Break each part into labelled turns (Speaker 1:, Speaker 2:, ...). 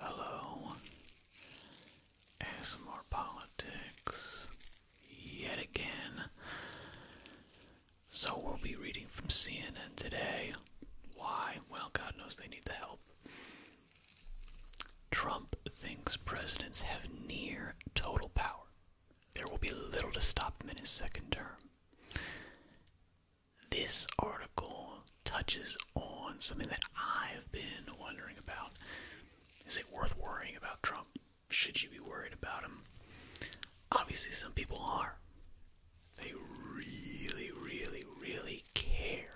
Speaker 1: Hello. ASMR Politics yet again. So we'll be reading from CNN today. Why? Well, God knows they need the help. Trump thinks presidents have near total power. There will be little to stop him in his second term. This article touches on something that I've been wondering about. Is it worth worrying about Trump? Should you be worried about him? Obviously, some people are. They really, really, really care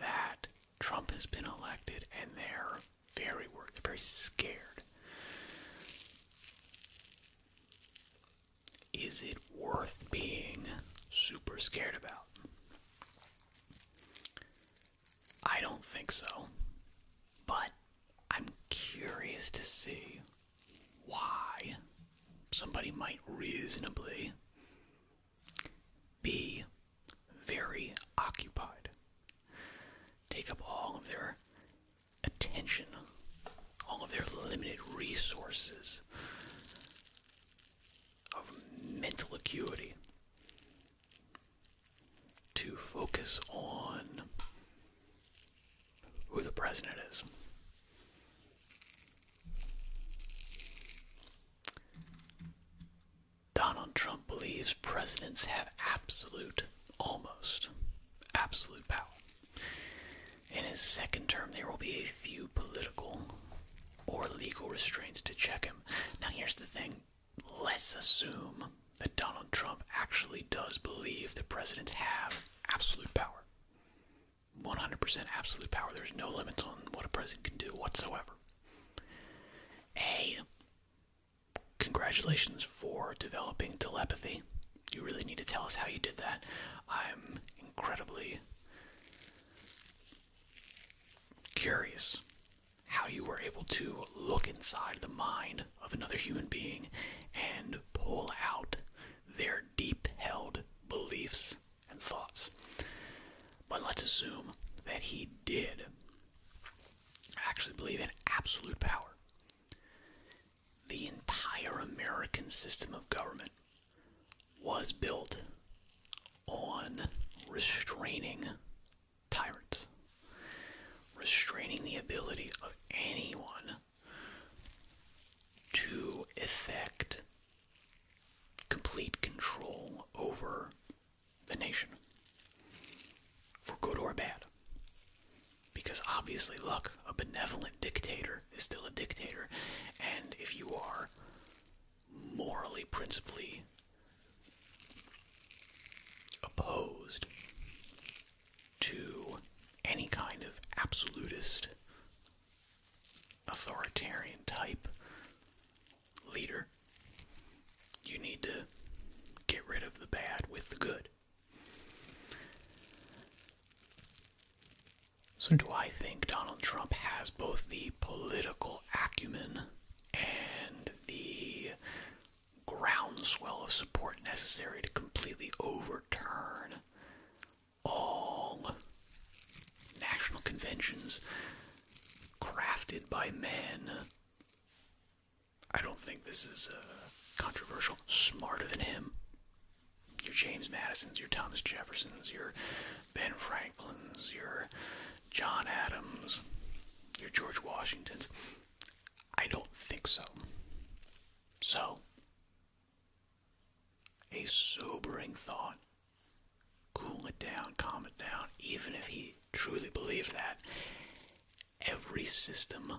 Speaker 1: that Trump has been elected and they're very worried, very scared. Is it worth being super scared about? I don't think so. But I'm curious to see
Speaker 2: why somebody might reasonably be very occupied,
Speaker 1: take up all of their attention, all of their limited resources of mental acuity to focus on who the president is. Donald Trump believes presidents have absolute, almost absolute power. In his second term, there will be a few political or legal restraints to check him. Now, here's the thing let's assume that Donald Trump actually does believe that presidents have absolute power 100% absolute power. There's no limits on what a president can do whatsoever. A, congratulations for developing telepathy. You really need to tell us how you did that. I'm incredibly curious how you were able to look inside the mind of another human being and pull out their deep held beliefs and thoughts. But let's assume that he did I actually believe in absolute power. The entire American system of government was built on restraining tyrants, restraining the ability of anyone to effect complete control over the nation, for good or bad. Because obviously, look, a benevolent dictator is still a dictator, and if you are morally, principally opposed to any kind of absolutist, authoritarian type leader. You need to get rid of the bad with the good. So, do I think Donald Trump has both the political acumen and the groundswell of support necessary to completely overturn all national conventions crafted by men. I don't think this is uh, controversial. Smarter than him. you're James Madisons, you're Thomas Jeffersons, you're. Ben Franklin's, your John Adams, your George Washington's. I don't think so. So, a sobering thought. Cool it down, calm it down, even if he truly believed that. Every system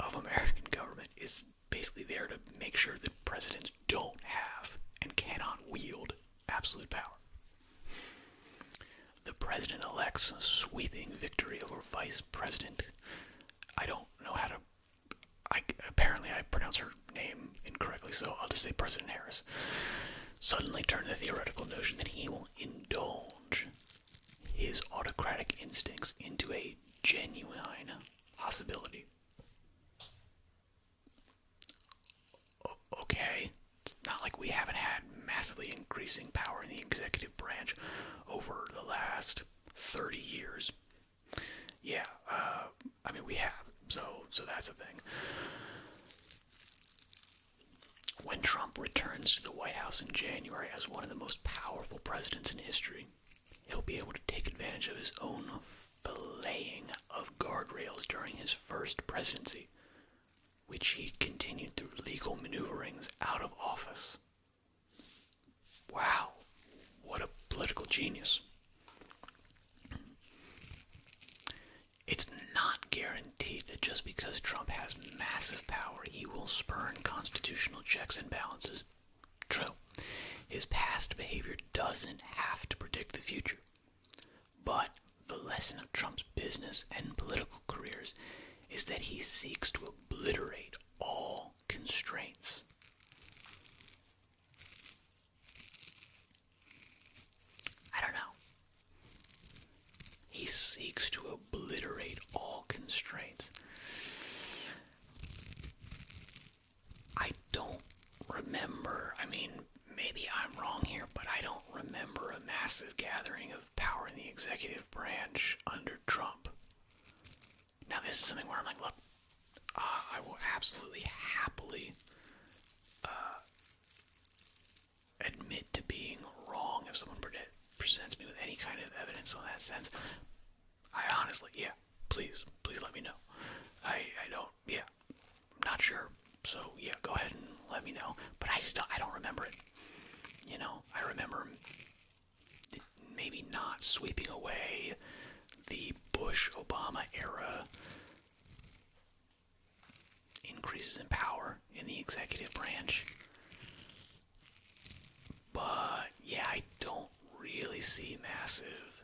Speaker 1: of American government is basically there to make sure that presidents don't have and cannot wield absolute power. The president elect's sweeping victory over vice president. I don't know how to. I, apparently, I pronounce her name incorrectly, so I'll just say President Harris. Suddenly turn the theoretical notion that he will indulge his autocratic instincts into a genuine possibility okay, it's not like we haven't had massively increasing power in the executive branch over the last 30 years. Yeah, uh, I mean we have, so so that's the thing. When Trump returns to the White House in January as one of the most powerful presidents in history, he'll be able to take advantage of his own laying of guardrails during his first presidency, which he continued through legal maneuverings out of office. Wow, what a political genius. It's not guaranteed that just because Trump has massive power, he will spurn constitutional checks and balances. True, his past behavior doesn't have to predict the future. But the lesson of Trump's business and political careers is that he seeks to obliterate all constraints. I don't know. He seeks to obliterate all constraints. I don't remember. I mean, maybe I'm wrong here, but I don't remember a massive gathering of power in the executive branch under Trump. Now, this is something where I'm like, look, uh, I will absolutely happily uh, admit to being wrong if someone presents me with any kind of evidence on that sense. I honestly, yeah, please, please let me know. I, I don't, yeah, not sure. So yeah, go ahead and let me know. But I just don't, I don't remember it. You know, I remember maybe not sweeping away the Bush Obama era increases in power in the executive branch. But yeah, I don't really see massive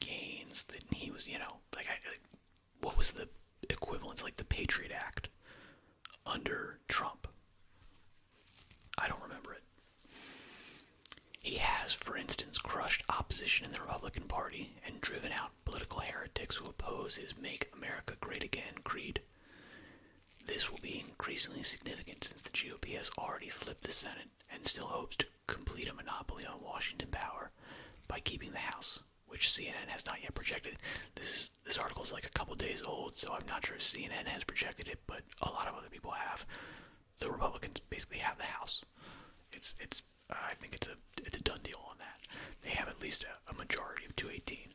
Speaker 1: gains that he was, you know, like,
Speaker 2: what was the equivalence, like the Patriot Act under Trump? I don't remember it. He has, for instance, crushed opposition in the Republican Party and driven out
Speaker 1: political heretics who oppose his Make America Great Again creed. This will be increasingly significant since the GOP has already flipped the Senate and still hopes to complete a monopoly on Washington power by keeping the House which CNN has not yet projected. This is, this article is like a couple days old, so I'm not sure CNN has projected it, but a lot of other people have. The Republicans basically have the House. It's it's I think it's a it's a done deal on that. They have at least a majority of 218.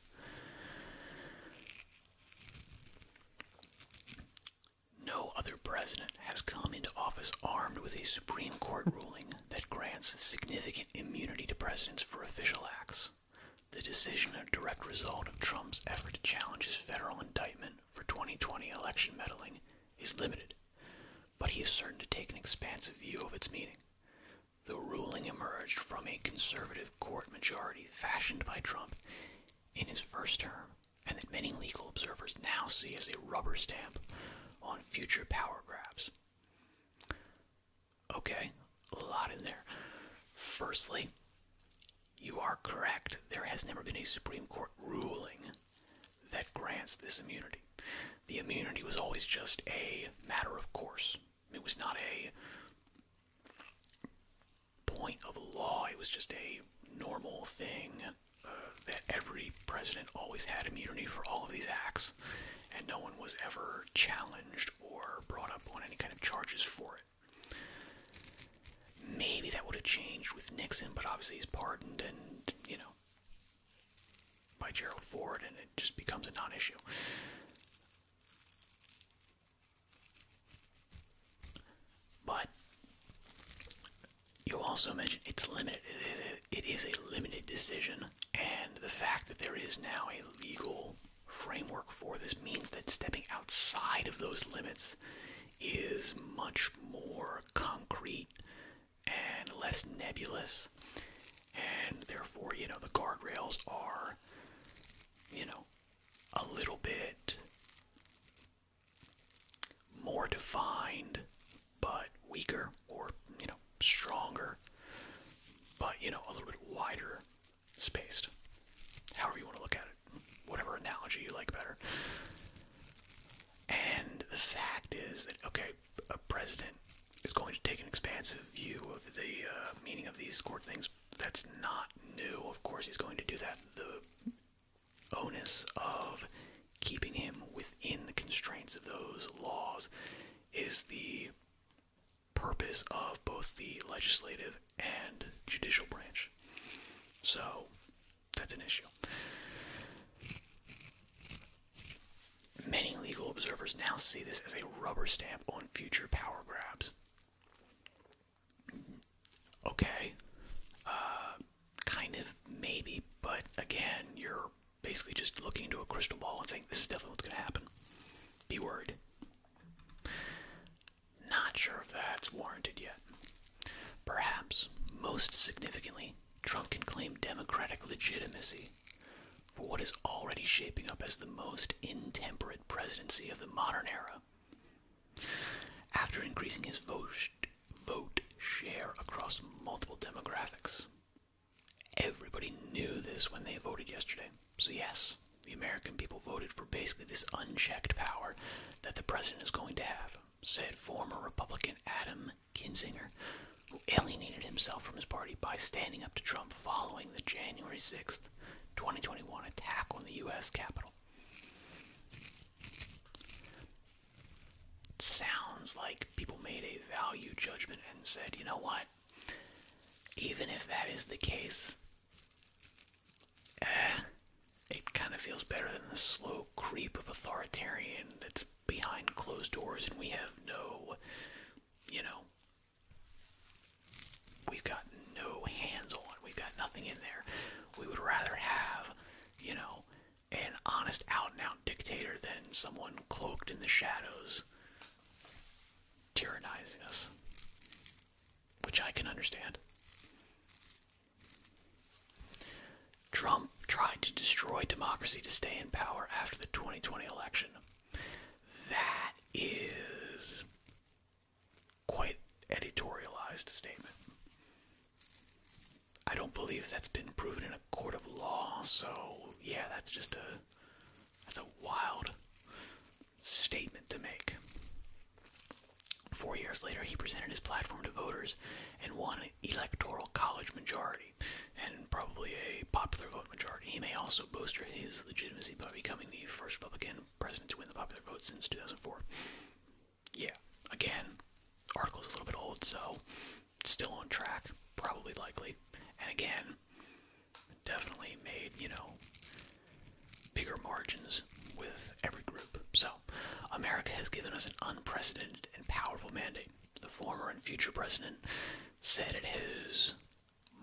Speaker 1: No other president has come into office armed with a Supreme Court ruling that grants significant immunity to presidents for official acts. The decision a direct result of Trump's effort to challenge his federal indictment for 2020 election meddling is limited, but he is certain to take an expansive view of its meaning. The ruling emerged from a conservative court majority fashioned by Trump in his first term, and that many legal observers now see as a rubber stamp on future power grabs. Okay, a lot in there. Firstly, you are correct. There has never been a Supreme Court ruling that grants this immunity. The immunity was always just a matter of course. It was not a point of law, it was just a normal thing uh, that every president always had immunity for all of these acts, and no one was ever challenged or brought up on any kind of charges for it. Maybe that would have changed with Nixon, but obviously he's pardoned and, you know, by Gerald Ford, and it just becomes a non issue. But you also mentioned it's limited. It, it, it is a limited decision, and the fact that there is now a legal framework for this means that stepping outside of those limits is much more concrete and less nebulous, and therefore, you know, the guardrails are, you know, a little bit more defined but weaker or you know stronger, but you know a little bit wider spaced. However you want to look at it, whatever analogy you like better. And the fact is that okay, a president is going to take an expansive view of the uh, meaning of these court things. That's not new. Of course, he's going to do that. The onus of keeping him within the constraints of those laws is the purpose of both the legislative and judicial branch. So that's an issue. Many legal observers now see this as a rubber stamp on future power grabs. Okay, uh, kind of maybe, but again, you're basically just looking into a crystal ball and saying, this is definitely what's going to happen. Be worried. Not sure if that's warranted yet. Perhaps, most significantly, Trump can claim Democratic legitimacy for what is already shaping up as the most intemperate presidency of the modern era. After increasing his vote, vote share across multiple demographics,
Speaker 2: Everybody knew this when they voted yesterday. So, yes, the American
Speaker 1: people voted for basically this unchecked power that the president is going to have, said former Republican Adam Kinzinger, who alienated himself from his party by standing up to Trump following the January 6th, 2021 attack on the U.S. Capitol sounds like people made a value judgment and said, you know what? Even if that is the case, eh, it kind of feels better than the slow creep of authoritarian that's behind closed doors and we have no, you know, we've got no hands on, we've got nothing in there. We would rather have, you know, an honest out and out dictator than someone cloaked in the shadows tyrannizing us, which I can understand. Trump tried to destroy democracy to stay in power after the 2020 election. That is quite editorialized statement. I don't believe that's been proven in a court of law, so yeah, that's just a that's a wild statement to make. Four years later, he presented his platform to voters and won an electoral college majority and probably a popular vote majority. He may also bolster his legitimacy by becoming the first Republican president to win the popular vote since 2004. Yeah, again, article's a little bit old, so still on track, probably likely. And again, definitely made, you know, bigger margins with every group. So, America has given us an unprecedented and powerful mandate. The former and future president said at his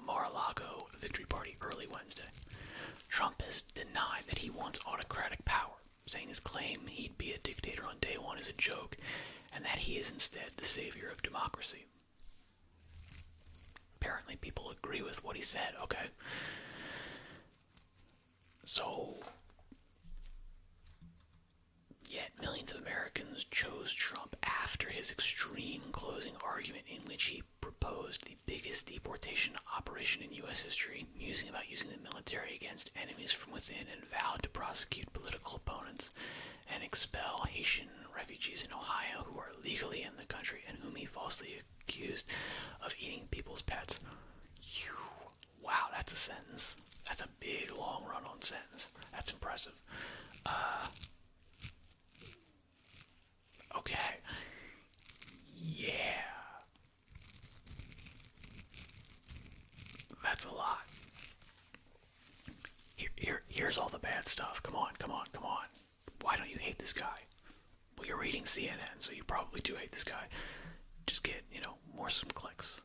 Speaker 1: Mar-a-Lago victory party early Wednesday. Trump has denied that he wants autocratic power, saying his claim he'd be a dictator on day one is a joke and that he is instead the savior of democracy. Apparently, people agree with what he said, okay? So, yet millions of Americans chose Trump after his extreme closing argument, in which he proposed the biggest deportation operation in U.S. history, musing about using the military against enemies from within, and vowed to prosecute political opponents and expel Haitian refugees in Ohio who are legally in the country and whom he falsely accused of eating people's pets. You, wow, that's a sentence. That's a big long run on sentence. That's impressive. Uh, okay. Yeah. That's a lot. Here, here's all the bad stuff. Come on, come on, come on. Why don't you hate this guy? Well, you're reading CNN, so you probably do hate this guy. Just get, you know, more some clicks.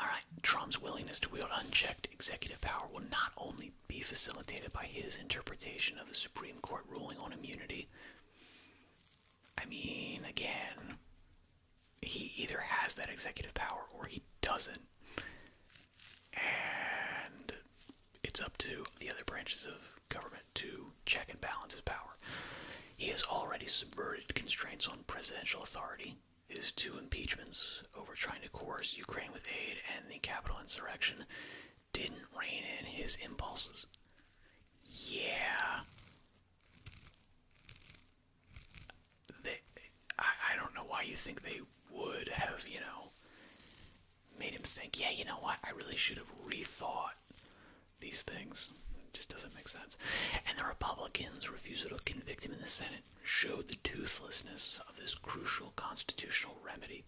Speaker 1: All right, Trump's willingness to wield unchecked executive power will not only be facilitated by his interpretation of the Supreme Court ruling on immunity. I mean, again, he either has that executive power or he doesn't. And it's up to the other branches of government to check and balance his power. He has already subverted constraints on presidential authority. His two impeachments over trying to coerce Ukraine with aid and the capital insurrection didn't rein in his impulses. Yeah they, I, don't know why you think they would have, you know, made him think, yeah, you know what, I really should have rethought these things. It just doesn't make sense. And the Republicans' refusal to convict him in the Senate showed the toothlessness of this crucial constitutional remedy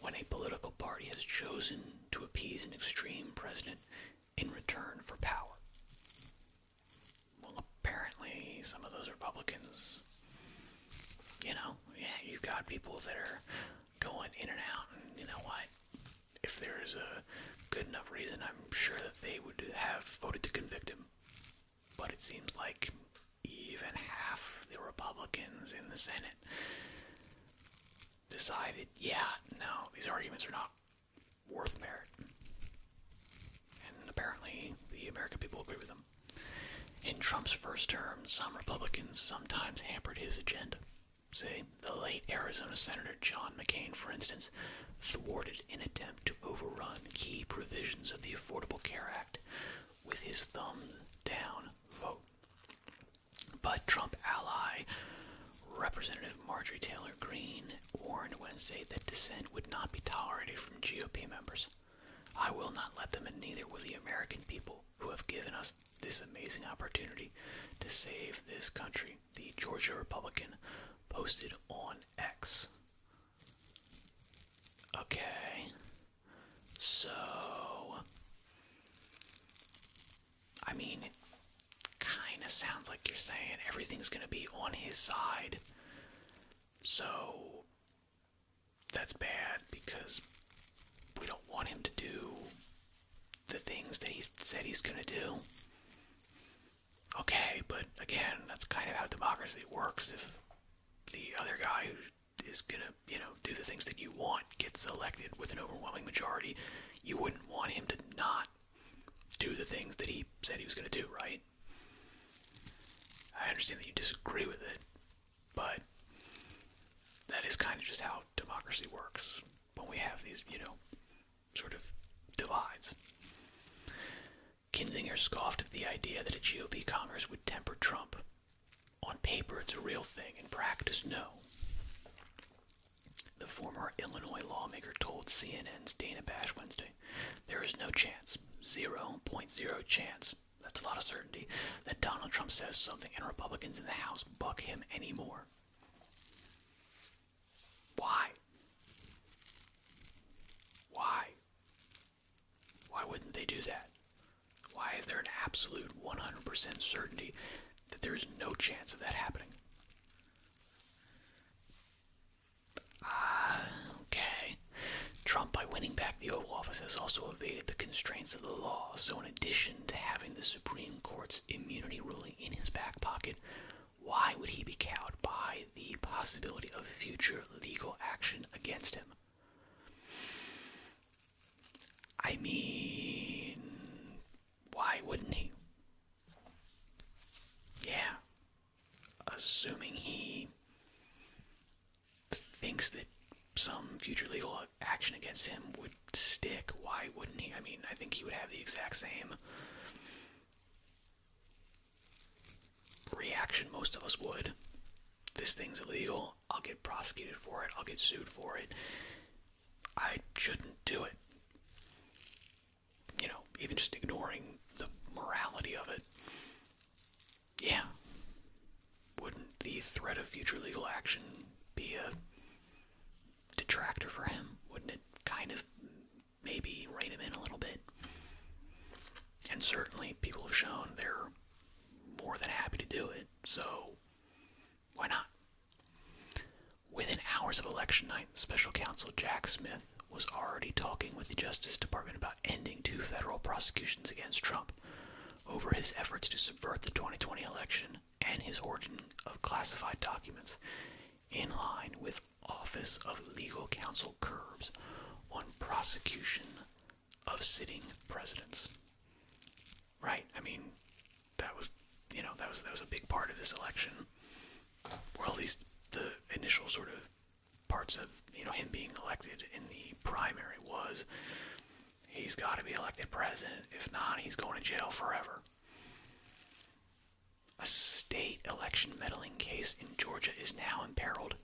Speaker 1: when a political party has chosen to appease an extreme president in return for power. Well, apparently, some of those Republicans, you know, yeah, you've got people that are going in and out, and you know why. If there's a good enough reason, I'm sure that they would have voted to convict him. But it seems like even half the Republicans in the Senate decided, yeah, no, these arguments are not worth merit and apparently the American people agree with him. In Trump's first term, some Republicans sometimes hampered his agenda. Say, the late Arizona Senator John McCain, for instance, thwarted an attempt to overrun key provisions of the Affordable Care Act with his thumbs down vote. But Trump ally Representative Marjorie Taylor Greene warned Wednesday that dissent would not be tolerated from GOP members. I will not let them, and neither will the American people who have given us this amazing opportunity to save this country, the Georgia Republican posted on X. Okay, so I mean, kind of sounds like you're saying everything's gonna be on his side. So that's bad because we don't want him to do the things that he said he's going to do. Okay, but again, that's kind of how democracy works. If the other guy who is going to, you know, do the things that you want gets elected with an overwhelming majority, you wouldn't want him to not do the things that he said he was going to do, right? I understand that you disagree with it, but that is kind of just how democracy works when we have these, you know, sort of divides.
Speaker 2: Kinzinger scoffed at the idea that a GOP Congress would temper Trump. On
Speaker 1: paper, it's a real thing. In practice, no. The former Illinois lawmaker told CNN's Dana Bash Wednesday, There is no chance, 0.0 chance, that's a lot of certainty, that Donald Trump says something and Republicans in the House buck him anymore. Why? Why? Why wouldn't they do that? Why is there an absolute 100% certainty that there is no chance of that happening? Ah, okay. Trump, by winning back the Oval Office, has also evaded the constraints of the law. So, in addition to having the Supreme Court's immunity ruling in his back pocket, why would he be cowed by the possibility of future legal action against him? I mean, why wouldn't he? Yeah. Assuming he thinks that some future legal action against him would stick, why wouldn't he? I mean, I think he would have the exact same reaction most of us would. This thing's illegal. I'll get prosecuted for it. I'll get sued for it. I shouldn't do it. You know, even just ignoring the morality of it. Yeah. Wouldn't the threat of future legal action be a detractor for him? Wouldn't it kind of maybe rein him in a little bit? And certainly, people have shown they're more than happy to do it, so why not? Within hours of election night, special counsel Jack Smith was already talking with the Justice Department about ending two federal prosecutions against Trump over his efforts to subvert the 2020 election and his origin of classified documents, in line with Office of Legal Counsel curbs on prosecution of sitting presidents. Right? I mean, that was, you know, that was that was a big part of this election, or at least the initial sort of parts of you know him being elected in the primary was he's got to be elected president. If not, he's going to jail forever. A state election meddling case in Georgia is now imperiled,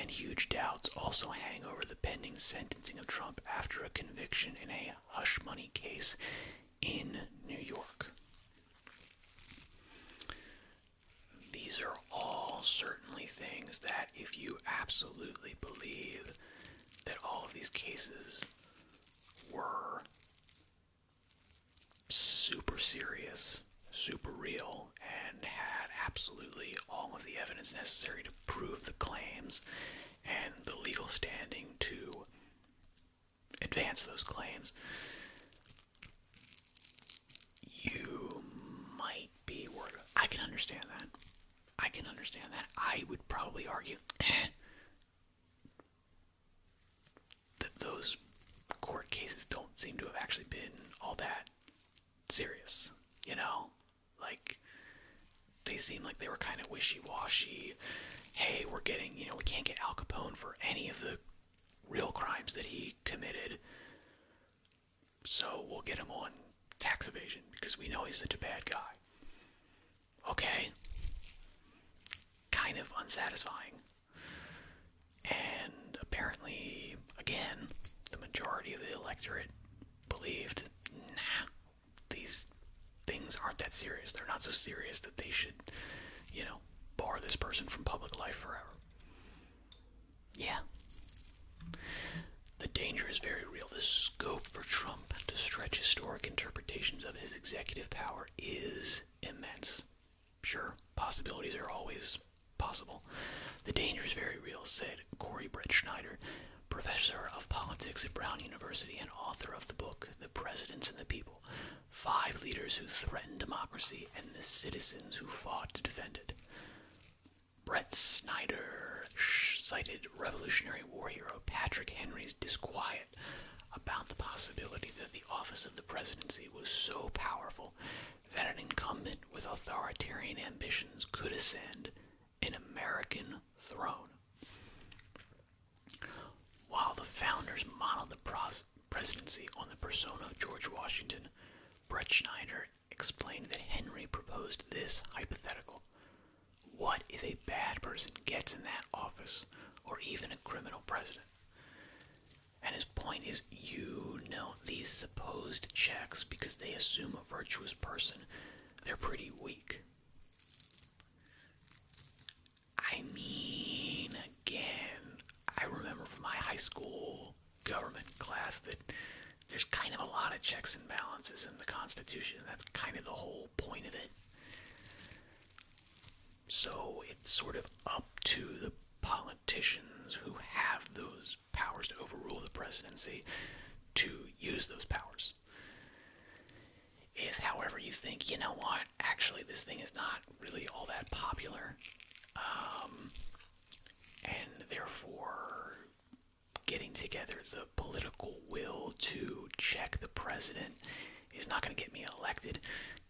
Speaker 1: and huge doubts also hang over the pending sentencing of Trump after a conviction in a hush money case in New York. These are all certainly things that, if you absolutely believe that all of these cases were super serious, super real, and had absolutely all of the evidence necessary to prove the claims and the legal standing to advance those claims, you might be worried. I can understand that. I can understand that. I would probably argue eh, that those court cases don't seem to have actually been all that serious, you know? Like, they seem like they were kind of wishy washy. Hey, we're getting, you know, we can't get Al Capone for any of the real crimes that he committed. So we'll get him on tax evasion because we know he's such a bad guy. Okay. Kind of unsatisfying. And apparently, again, the majority of the electorate believed nah, these things aren't that serious. They're not so serious that they should, you know, bar this person from public life forever. Yeah. The danger is very real. The scope for Trump to stretch historic interpretations of his executive power is immense. Sure, possibilities are always possible. The danger is very real, said Corey Brett Schneider, professor of politics at Brown University and author of the book The Presidents and the People Five Leaders Who Threatened Democracy and the Citizens Who Fought to Defend It. Brett Snyder cited Revolutionary War hero Patrick Henry's disquiet about the possibility that the office of the presidency was so powerful that an incumbent with authoritarian ambitions could ascend an American throne. While the founders modeled the presidency on the persona of George Washington, Brett Schneider explained that Henry proposed this hypothetical. What if a bad person gets in that office, or even a criminal president? And his point is you know these supposed checks, because they assume a virtuous person, they're pretty weak. I mean, again, I remember from my high school government class that there's kind of a lot of checks and balances in the Constitution. That's kind of the whole point of it. So it's sort of up to the politicians who have those powers to overrule the presidency to use those powers. If, however, you think, you know what, actually this thing is not really all that popular, um, and therefore getting together the political will to check the president is not going to get me elected.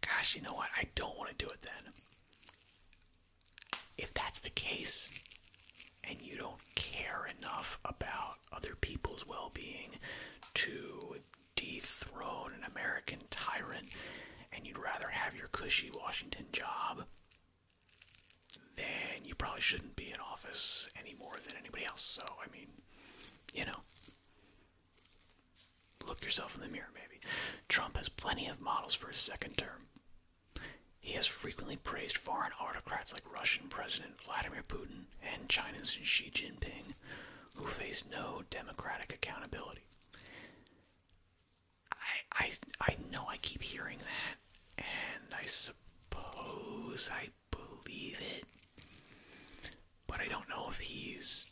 Speaker 1: Gosh, you know what? I don't want to do it then. If that's the case, and you don't care enough about other people's well being to dethrone an American tyrant, and you'd rather have your cushy Washington job then you probably shouldn't be in office any more than anybody else. So, I mean, you know, look yourself in the mirror, maybe. Trump has plenty of models for a second term. He has frequently praised foreign autocrats like Russian President Vladimir Putin and China's Xi Jinping, who face no democratic accountability. I I I know I keep hearing that, and I suppose I believe it, but I don't know if he's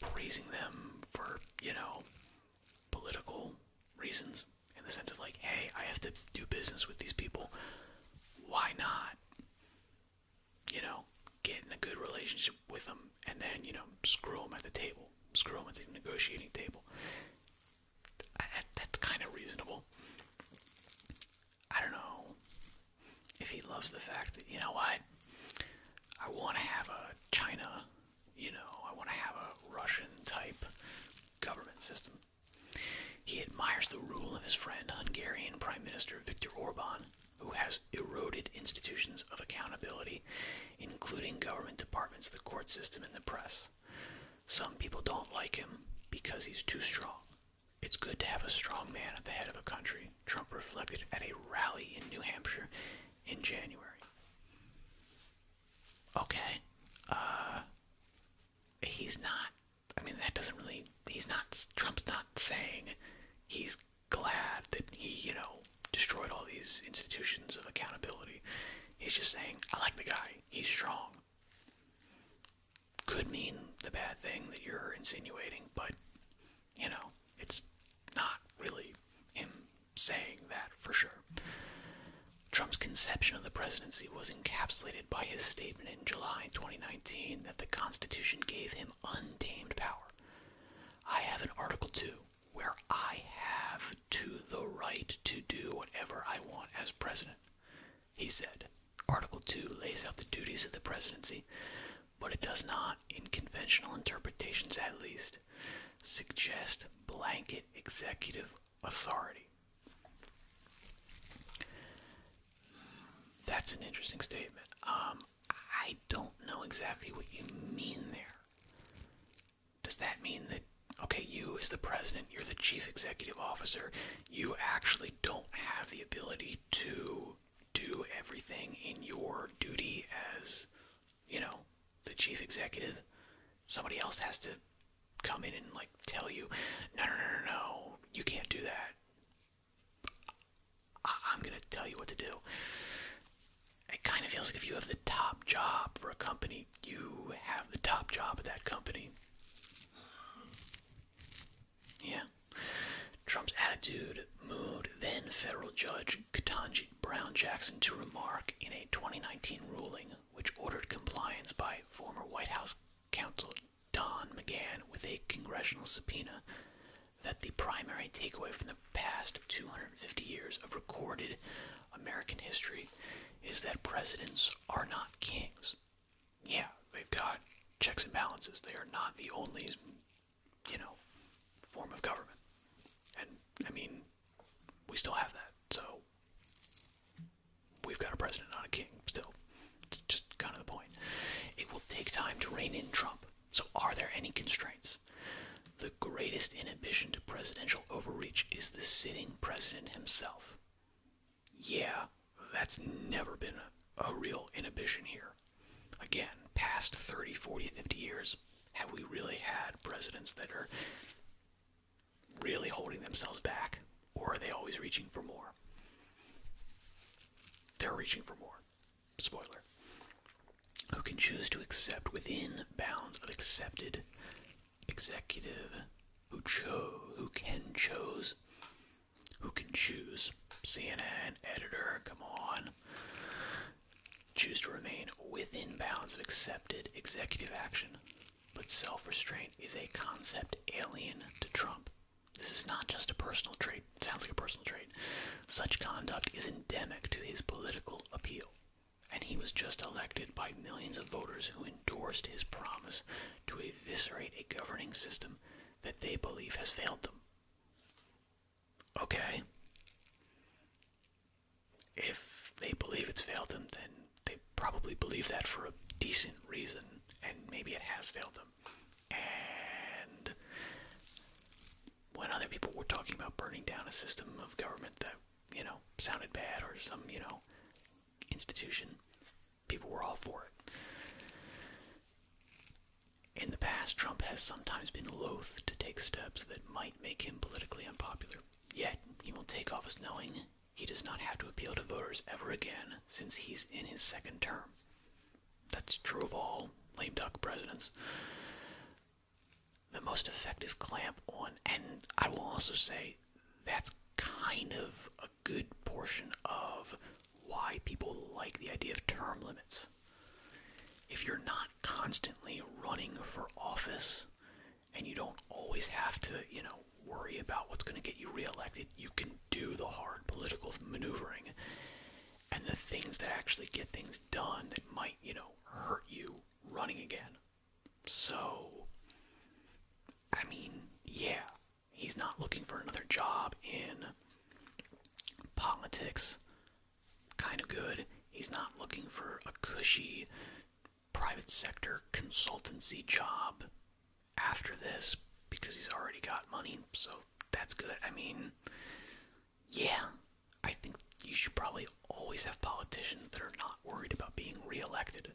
Speaker 1: praising them for you know political reasons in the sense of like, hey, I have to do business with these people. Why not? You know, get in a good relationship with them, and then you know, screw them at the table, screw them at the negotiating table that's kind of reasonable. I don't know if he loves the fact that you know what I want to have
Speaker 2: a China, you know, I want to have a Russian type government
Speaker 1: system. He admires the rule of his friend Hungarian Prime Minister Viktor Orban, who has eroded institutions of accountability, including government departments, the court system, and the press. Some people don't like him because he's too strong. It's good to have a strong man at the head of a country, Trump reflected at a rally in New Hampshire in January. Okay. Uh, he's not I mean that doesn't really he's not Trump's not saying he's glad that he, you know, destroyed all these institutions of accountability. He's just saying, I like the guy he's strong. Could mean the bad thing that you're insinuating, but you know, it's not really him saying that for sure. Trump's conception of the presidency was encapsulated by his statement in July 2019 that the Constitution gave him untamed power. I have an Article 2 where I have to the right to do whatever I want as president, he said. Article 2 lays out the duties of the presidency, but it does not, in conventional interpretations at least, suggest blanket executive authority. That's an interesting statement. Um, I don't know exactly what you mean there does that mean that, okay, you as the president, you're the chief executive officer, you actually don't have the ability to do everything in your duty as, you know, the chief executive? Somebody else has to come in and, like, tell you, no, no, no, no, no, you can't do that. I am gonna tell you what to do. It kind of feels like if you have the top job for a company, you have the top job at that company. Yeah. Trump's attitude moved then federal judge Ketanji Brown Jackson to remark in a 2019 ruling which ordered compliance by former White House counsel Don McGahn with a congressional subpoena that the primary takeaway from the past 250 years of recorded American history is that presidents are not kings. Yeah, they've got checks and balances. They are not the only, you know, form of government. And I mean, we still have that. So we've got a president, not a king. Still, just kind of the point. It will take time to rein in Trump. So are there any constraints? The greatest inhibition to presidential overreach is the sitting president himself. Yeah, that's never been a, real inhibition here. Again, past 30, 40, 50 years, have we really had presidents that are really holding themselves back? Or are they always reaching for more? They're reaching for more. Spoiler. Who can choose to accept within bounds of accepted executive who chose, who can chose, who can choose. CNN editor, come on. Choose to remain within bounds of accepted executive action, but self-restraint is a concept alien to Trump. This is not just a personal trait. sounds like a personal trait. Such conduct is endemic to his political appeal. And he was just elected by millions of voters who endorsed his promise to eviscerate a governing system that they believe has failed them. Okay. If they believe it's failed them, then they probably believe that for a decent reason, and maybe it has failed them. And when other people were talking about burning down a system of government that, you know, sounded bad or some, you know, institution, people were all for it. In the past, Trump has sometimes been loath to take steps that might make him politically unpopular. Yet, he will take office knowing he does not have to appeal to voters ever again since he's in his second term. That's true of all lame duck presidents. The most effective clamp on, and I will also say that's kind of a good portion of why people like the idea of term limits. If you're not constantly running for office and you don't always have to, you know, worry about what's going to get you reelected, you can do the hard political maneuvering and the things that actually get things done that might, you know, hurt you running again. So, I mean, yeah, he's not looking for another job in politics. Kind of good. He's not looking for a cushy private sector consultancy job after this because he's already got money, so that's good. I mean, yeah, I think you should probably always have politicians that are not worried about being reelected.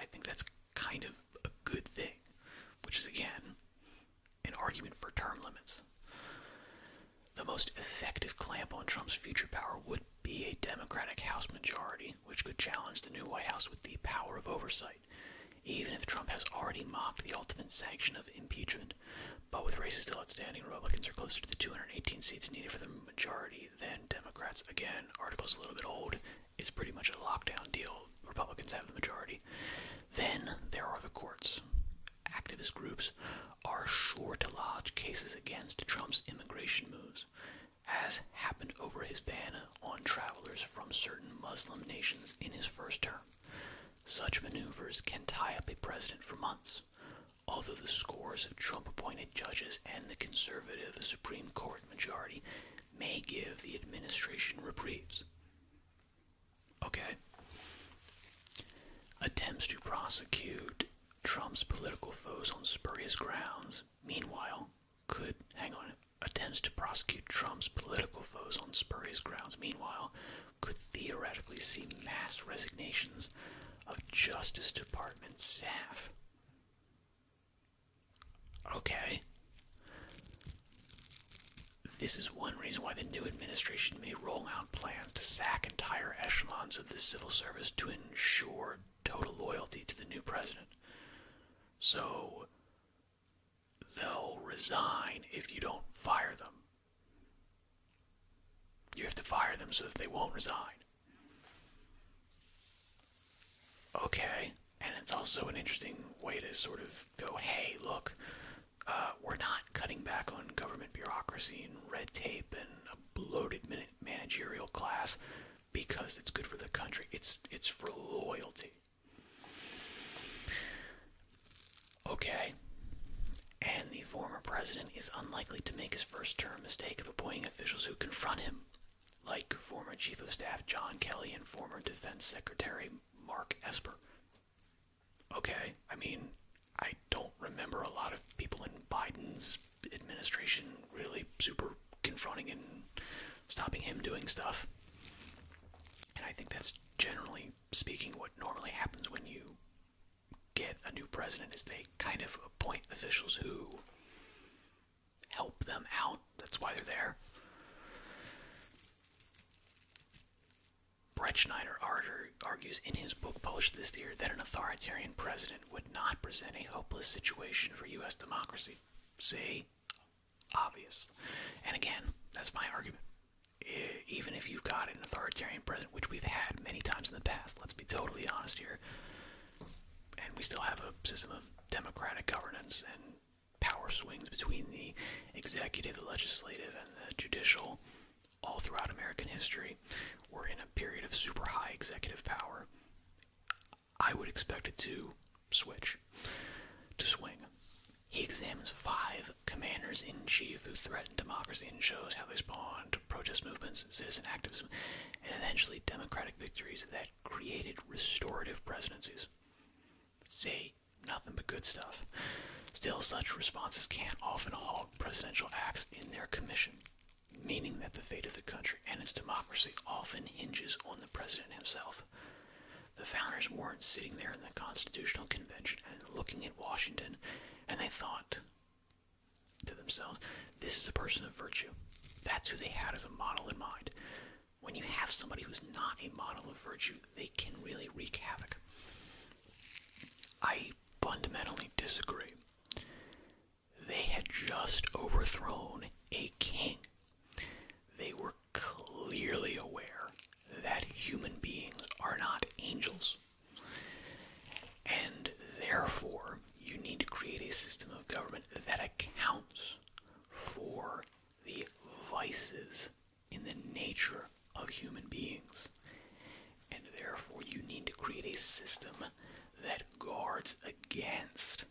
Speaker 1: I think that's kind of a good thing, which is again an argument for term limits. The most effective clamp on Trump's future power would be a Democratic House majority, which could challenge the new White House with the power of oversight, even if Trump has already mocked the ultimate sanction of impeachment. But with races still outstanding, Republicans are closer to the 218 seats needed for the majority than Democrats. Again, article's a little bit old. Is pretty much a lockdown deal. Republicans have the majority. Then there are the courts. Activist groups are sure to lodge cases against Trump's immigration moves, as happened over his ban on travelers from certain Muslim nations in his first term. Such maneuvers can tie up a president for months. Although the scores of Trump appointed judges and the conservative Supreme Court majority may give the administration reprieves. Okay. Attempts to prosecute Trump's political foes on spurious grounds, meanwhile, could, hang on, attempts to prosecute Trump's political foes on spurious grounds, meanwhile, could theoretically see mass resignations of Justice Department staff. Okay. This is one reason why the new administration may roll out plans to sack entire echelons of the civil service to ensure total loyalty to the new president. So, they'll resign if you don't fire them. You have to fire them so that they won't resign. Okay, and it's also an interesting way to sort of go, hey, look, uh, we're not cutting back on government bureaucracy and red tape and a bloated managerial class because it's good for the country. It's it's for loyalty. Okay. And the former president is unlikely to make his first term mistake of appointing officials who confront him like former Chief of Staff John Kelly and former Defense Secretary Mark Esper. Okay, I mean, I don't remember a lot of people in Biden's administration really super confronting and stopping him doing stuff. And I think that's generally speaking what normally happens when you get a new president is they kind of appoint officials who help them out. That's why they're there. Brett Schneider argues in his book published this year that an authoritarian president would not present a hopeless situation for U.S. democracy. See? Obvious. And again, that's my argument. Even if you've got an authoritarian president, which we've had many times in the past, let's be totally honest here, and we still have a system of democratic governance and power swings between the executive, the legislative, and the judicial all throughout American history. We're in a period of super high executive power. I would expect it to switch, to swing. He examines five commanders in chief who threaten democracy and shows how they spawned protest movements, citizen activism, and eventually democratic victories that created restorative presidencies. Say nothing but good stuff. Still, such responses can not often halt presidential acts in their commission, meaning that the fate of the country and its democracy often hinges on the president himself. The founders weren't sitting there in the Constitutional Convention and looking at Washington, and they thought to themselves, this is a person of virtue. That's who they had as a model in mind when you have somebody who's not a model of virtue, they can really wreak havoc. I fundamentally disagree. They had just overthrown
Speaker 2: a king. They were clearly aware that
Speaker 1: human beings are not angels. And therefore, you need to create a system of government that accounts for the vices
Speaker 2: in the nature of human beings. And therefore, you need to create a system that guards
Speaker 1: against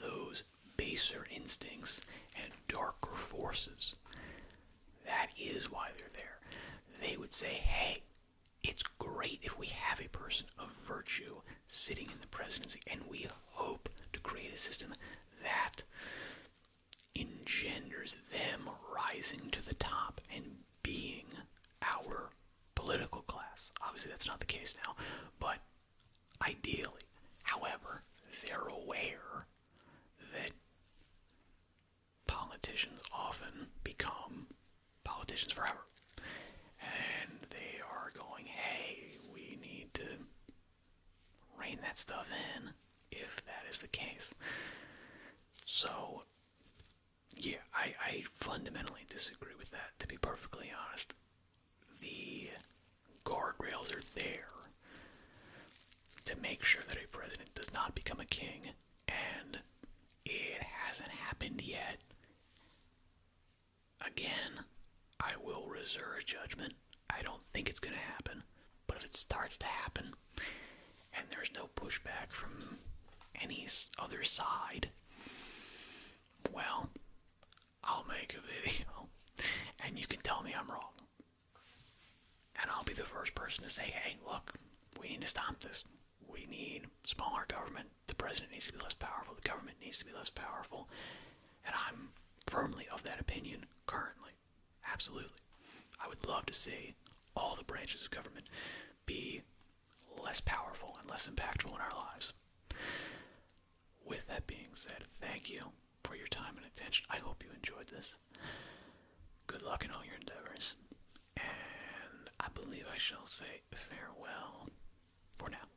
Speaker 1: those baser instincts and darker forces. That is why they're there. They would say, hey, it's great if we have a person of virtue sitting in the presidency, and we hope to create a system that engenders
Speaker 2: them rising to the top and being our political
Speaker 1: class. Obviously, that's not the case now, but ideally, however, they're aware that politicians often become politicians forever. And they are going, hey, we need to rein that stuff in if that is the case. So, yeah, I, I fundamentally disagree with that, to be perfectly honest. The guardrails are there to make sure that a president does not become a king, and it hasn't happened yet. Again, I will reserve judgment. I don't think it's going to happen, but if it starts to happen and there's no pushback from any other side, well, I'll make a video and you can tell me I'm wrong. And I'll be the first person
Speaker 2: to say, hey, look, we need to stop this. We need smaller government. The president
Speaker 1: needs to be less powerful. The government needs to be less powerful. And I'm firmly of that opinion currently. Absolutely. I would love to see all the branches of government be less powerful and less impactful in our lives. With that being said, thank you for your time and attention. I hope you enjoyed this. Good luck in all your endeavors. And I believe I shall say farewell for now.